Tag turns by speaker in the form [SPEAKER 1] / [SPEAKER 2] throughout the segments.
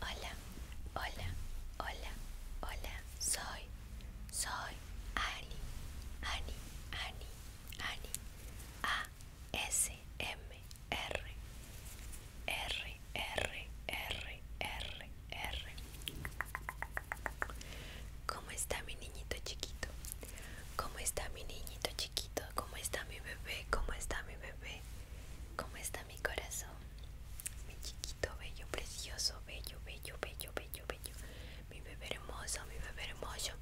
[SPEAKER 1] Hola, hola, hola, hola, soy, soy Ani, Ani, Ani, Ani, A, S, M, R, R, R, R, R, R. ¿Cómo está mi niñito chiquito? ¿Cómo está mi niñito chiquito? ¿Cómo está mi bebé? ¿Cómo está mi bebé? ¿Cómo está mi corazón? Mi chiquito, bello, precioso, bello, bello, bello, bello, bello. Mi bebé hermoso, mi bebé hermoso.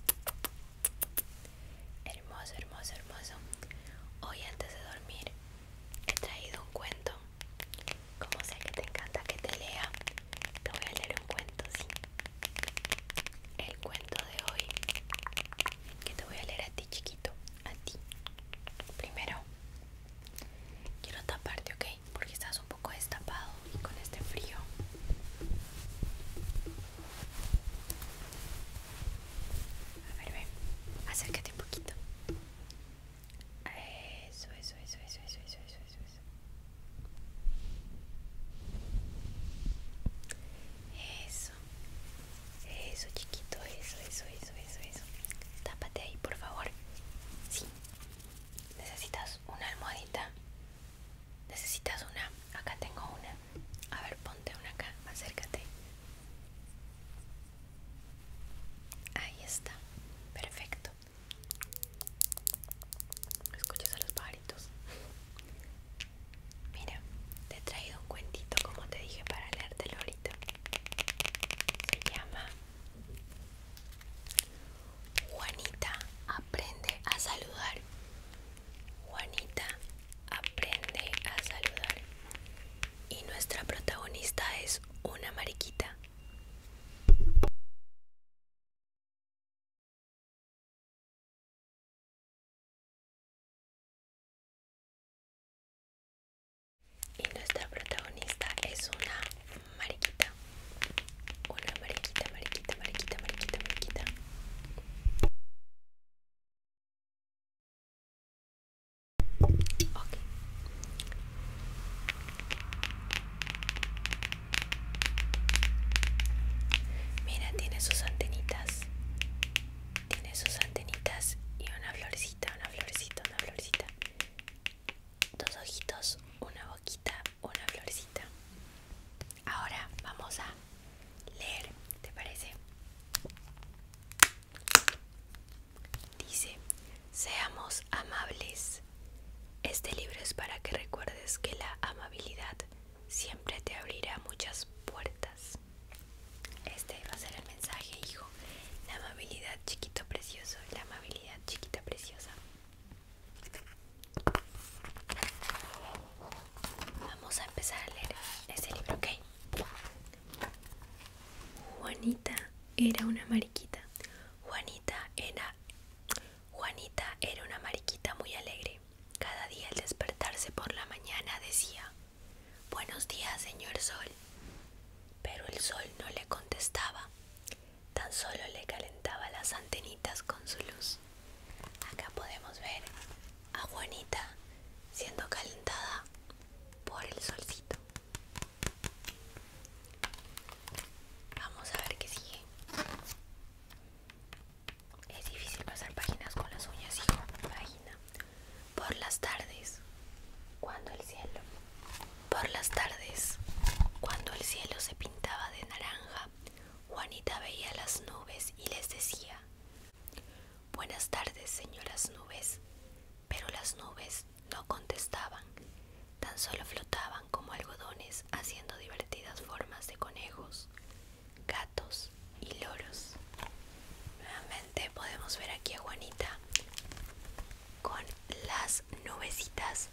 [SPEAKER 1] Hermoso, hermoso, hermoso. Hoy antes de dormir he traído un cuento. Como sé que te encanta que te lea, te voy a leer un cuento, sí. El cuento de hoy que te voy a leer a ti, chiquito, a ti, Primero, quiero taparte, ¿ok? Porque estás un poco destapado y con este frío. A ver, ven, acércate un poquito. Eso, eso, eso, eso, eso, eso, eso, eso, eso. Eso. Eso. chiquito. Eso, eso, eso, eso, eso. Tápate ahí, por favor. Sí. Necesitas una almohadita. Necesitas una. Acá tengo una. A ver, ponte una acá. Acércate. Ahí está. Perfecto. Escuchas a los pajaritos. Mira, te he traído un cuentito como te dije para leértelo ahorita. Se llama Juanita aprende a saludar. Juanita aprende a saludar. Y nuestra protagonista es una mariquita. Y nuestra protagonista es una mariquita. Una mariquita, mariquita, mariquita, mariquita, mariquita. Mira, tiene sus antenitas. Tiene sus antenitas y una florcita, una florcita, una florcita. Dos ojitos, una boquita, una florcita. Ahora vamos a leer, ¿te parece? Dice, seamos amables. Este libro es para que recuerdes que la amabilidad siempre te abrirá muchas puertas. Este va a ser el mensaje, hijo. La amabilidad, chiquito precioso. La amabilidad, chiquita preciosa. Vamos a empezar a leer este libro, ¿ok? Juanita era una mariquita. Juanita era... Juanita era una mariquita muy alegre. Cada día al despertarse por la mañana decía, Buenos días, señor Sol. Pero el sol no le contestaba, tan solo le calentaba las antenitas con su luz. Acá podemos ver a Juanita siendo calentada por el solcito. Vamos a ver qué sigue. Es difícil pasar páginas con las uñas, hijo. Página por las tardes, cuando el cielo. Por las tardes, cuando el cielo se pintaba de naranja, Juanita veía las nubes y les decía, Buenas tardes, señoras nubes. Pero las nubes no contestaban, tan solo flotaban como algodones haciendo divertidas formas de conejos, gatos, y loros. Nuevamente podemos ver aquí a Juanita con las nubecitas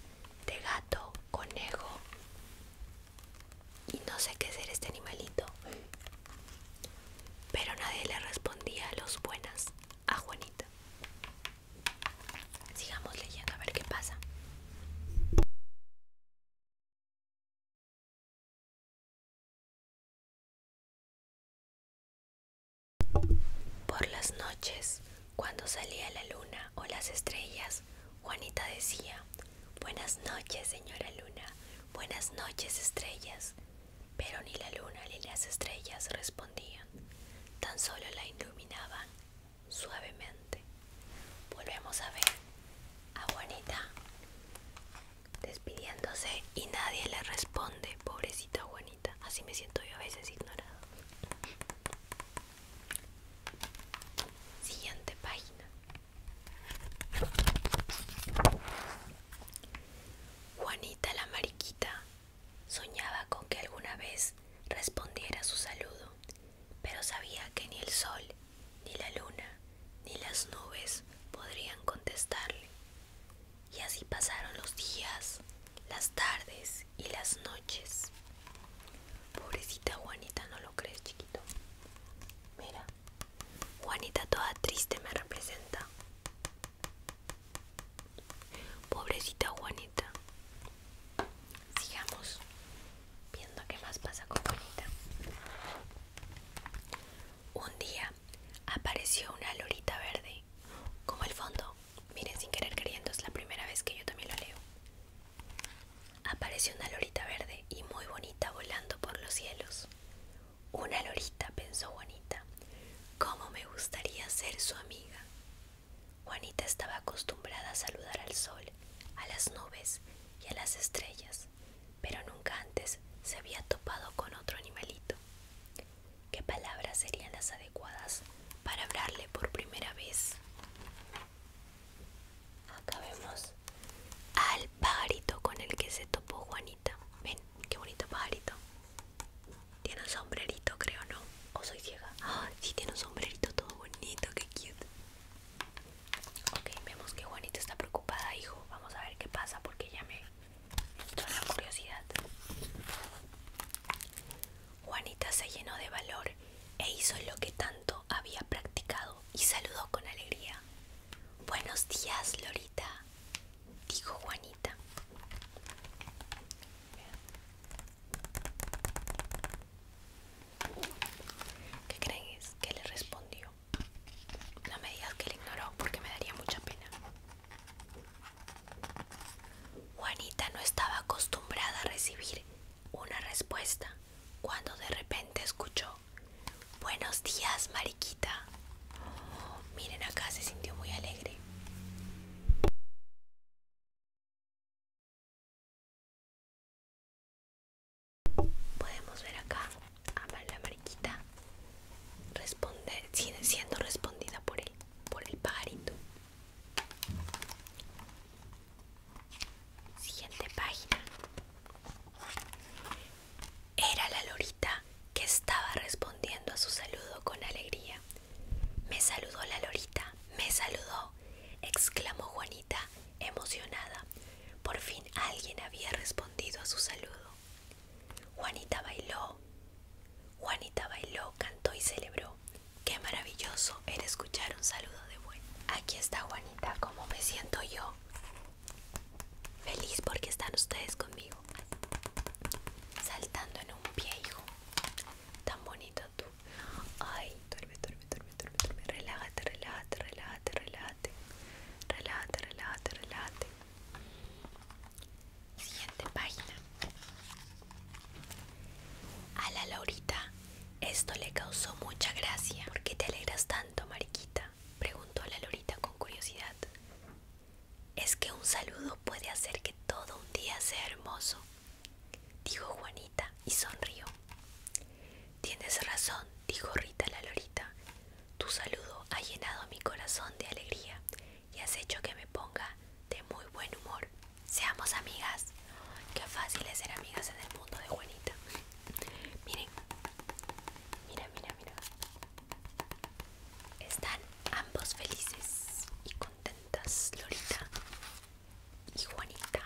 [SPEAKER 1] de gato, conejo y no sé qué ser este animalito. Pero nadie le respondía a los buenas a Juanita. Sigamos leyendo a ver qué pasa. Por las noches, cuando salía la luna o las estrellas, Juanita decía, Buenas noches, señora luna, buenas noches, estrellas. Pero ni la luna ni las estrellas respondían, tan solo la iluminaban suavemente. Volvemos a ver a Juanita despidiéndose y nadie le responde, pobrecita Juanita. Así me siento yo a veces ignorada. Siguiente página. Juanita la mariquita soñaba con que alguna vez respondiera su saludo, pero sabía que ni el sol, ni la luna, ni las nubes podrían contestarle. Y así pasaron los días, las tardes y las noches. Pobrecita Juanita, ¿no lo crees, chiquito? Mira, Juanita toda triste me representa. Pobrecita Juanita. Sigamos viendo qué más pasa con Juanita. Un día apareció una lorita verde, como el fondo. Miren, sin querer queriendo, es la primera vez que yo también lo leo. Apareció una lorita verde y muy bonita volando por los cielos. Una lorita, pensó Juanita. ¿Cómo me gustaría ser su amiga? Juanita estaba acostumbrada a saludar al sol, a las nubes y a las estrellas, pero nunca antes se había topado con otro animalito. ¿Qué palabras serían las adecuadas para hablarle por primera vez? Acá vemos al pajarito con el que se topó Juanita. Ven, qué bonito pajarito. Tiene un sombrerito, creo, ¿no? ¿O soy ciega? Ah, sí, tiene un sombrerito todo bonito, qué cute. Ok, vemos que Juanita está preocupada, hijo. Vamos a ver qué pasa porque ya me la curiosidad. Juanita se llenó de valor e hizo lo que tanto había practicado y saludó con alegría. Buenos días, Lorita, dijo Juanita. ¿Qué crees que le respondió? No me digas que le ignoró porque me daría mucha pena. Juanita no estaba acostumbrada a recibir una respuesta cuando de repente escuchó Buenos días, Mariquita. miren acá, se sintió muy alegre. Podemos ver acá a quita responde, sigue siendo respondida por él, por el pajarito. Siguiente página. Era la lorita que estaba respondiendo a su saludo con alegría. Me saludó la lorita, me saludó, exclamó Juanita, emocionada. Por fin alguien había respondido a su saludo. Juanita bailó, Juanita bailó, cantó y celebró. Qué maravilloso era escuchar un saludo de buen. Aquí está Juanita, ¿cómo me siento yo? Feliz porque están ustedes conmigo. Saltando en un pie, hijo. Tan bonito tú. Ay, duerme, duerme, duerme, duerme, duerme. Relájate, relájate, relájate, relájate. Relájate, relájate, relájate. Siguiente página. A la lorita esto le causó mucha gracia. ¿Por qué te alegras tanto, Mariquita? Preguntó la lorita con curiosidad. Es que un saludo puede hacer que todo un día sea hermoso, dijo Juanita y sonrió. Tienes razón, dijo Rita la Lorita. Tu saludo ha llenado mi corazón de alegría y has hecho que me ponga de muy buen humor. Seamos amigas. Qué fácil es ser amigas en el mundo de Juanita. Miren, mira, mira, mira. Están ambos felices y contentas, Lorita y Juanita.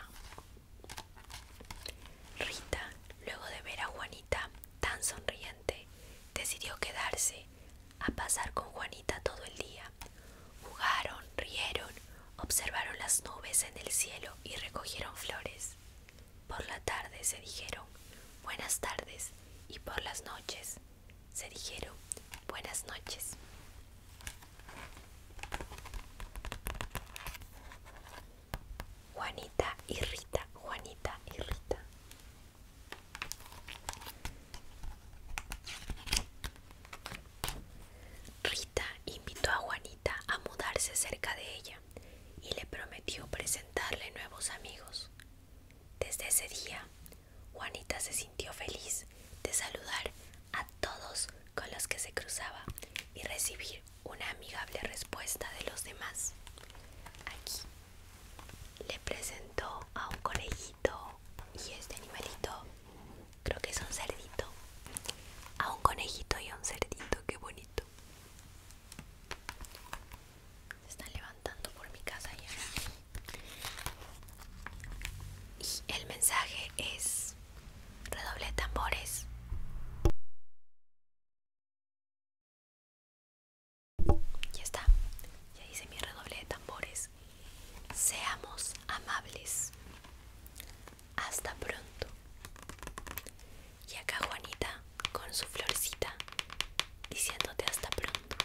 [SPEAKER 1] Rita, luego de ver a Juanita tan sonriente, decidió quedarse a pasar con Juanita todo el día. Jugaron, rieron, observaron las nubes en el cielo y recogieron flores. Por la tarde se dijeron buenas tardes y por las noches se dijeron buenas noches. Juanita y Rita, Juanita y Rita. Rita invitó a Juanita a mudarse cerca de ella y le prometió presentarle nuevos amigos. Desde ese día, Juanita se sintió feliz de saludar a todos con los que se cruzaba y recibir una amigable respuesta de los demás. Aquí le presento a un conejito y este animalito, creo que es un cerdito, a un conejito y a un cerdito, qué bonito. Se están levantando por mi casa ya. Y el mensaje es redoble tambores. Ya está, ya hice mi redoble de tambores. Seamos amables. Hasta pronto. Y acá Juanita con su florcita diciéndote hasta pronto.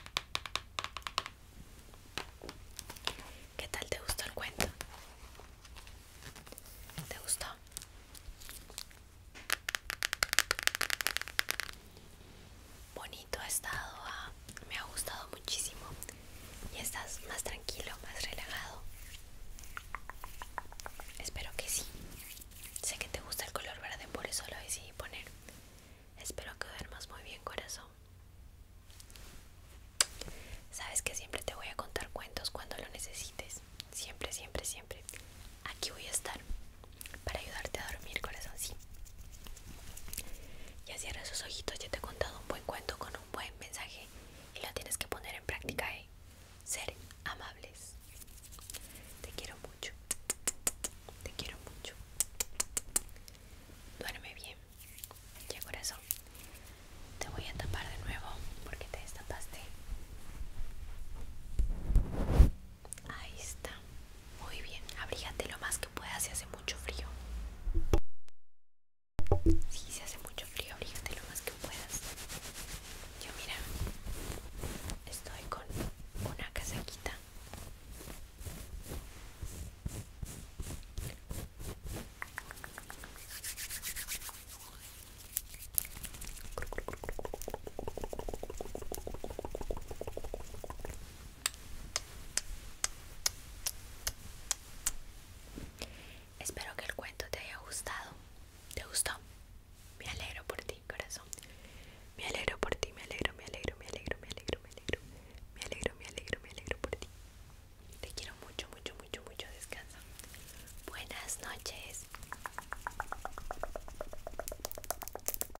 [SPEAKER 1] ¿Qué tal te gustó el cuento? ¿Te gustó? bonito ha estado, me ha gustado muchísimo y estás más tranquilo, más relajado. Espero que sí. Sé que te gusta el color verde, por eso lo decidí poner. Espero que duermas muy bien, corazón. Sabes que siempre te voy a contar cuentos cuando lo necesites. Siempre, siempre, siempre. Aquí voy a estar para ayudarte a dormir, corazón, sí. Ya cierra sus ojitos, ya te he contado un buen cuento con un buen mensaje y lo tienes que poner en práctica, ¿eh? Ser amables. Te quiero mucho. Te quiero mucho. Duerme bien. Ya corazón. Te voy a tapar de nuevo porque te destapaste. Ahí está. Muy bien. Abrígate lo más que puedas si hace mucho frío. Sí, se hace mucho frío, abrígate lo más que puedas. Yo mira, estoy con una casaquita. Espero que el cuento te haya gustado. ¿Te gustó? Me alegro por ti, corazón. Me alegro por ti, me alegro, me alegro, me alegro, me alegro, me alegro. Me alegro, me alegro, me alegro por ti. Te quiero mucho, mucho, mucho, mucho. Descansa. Buenas noches.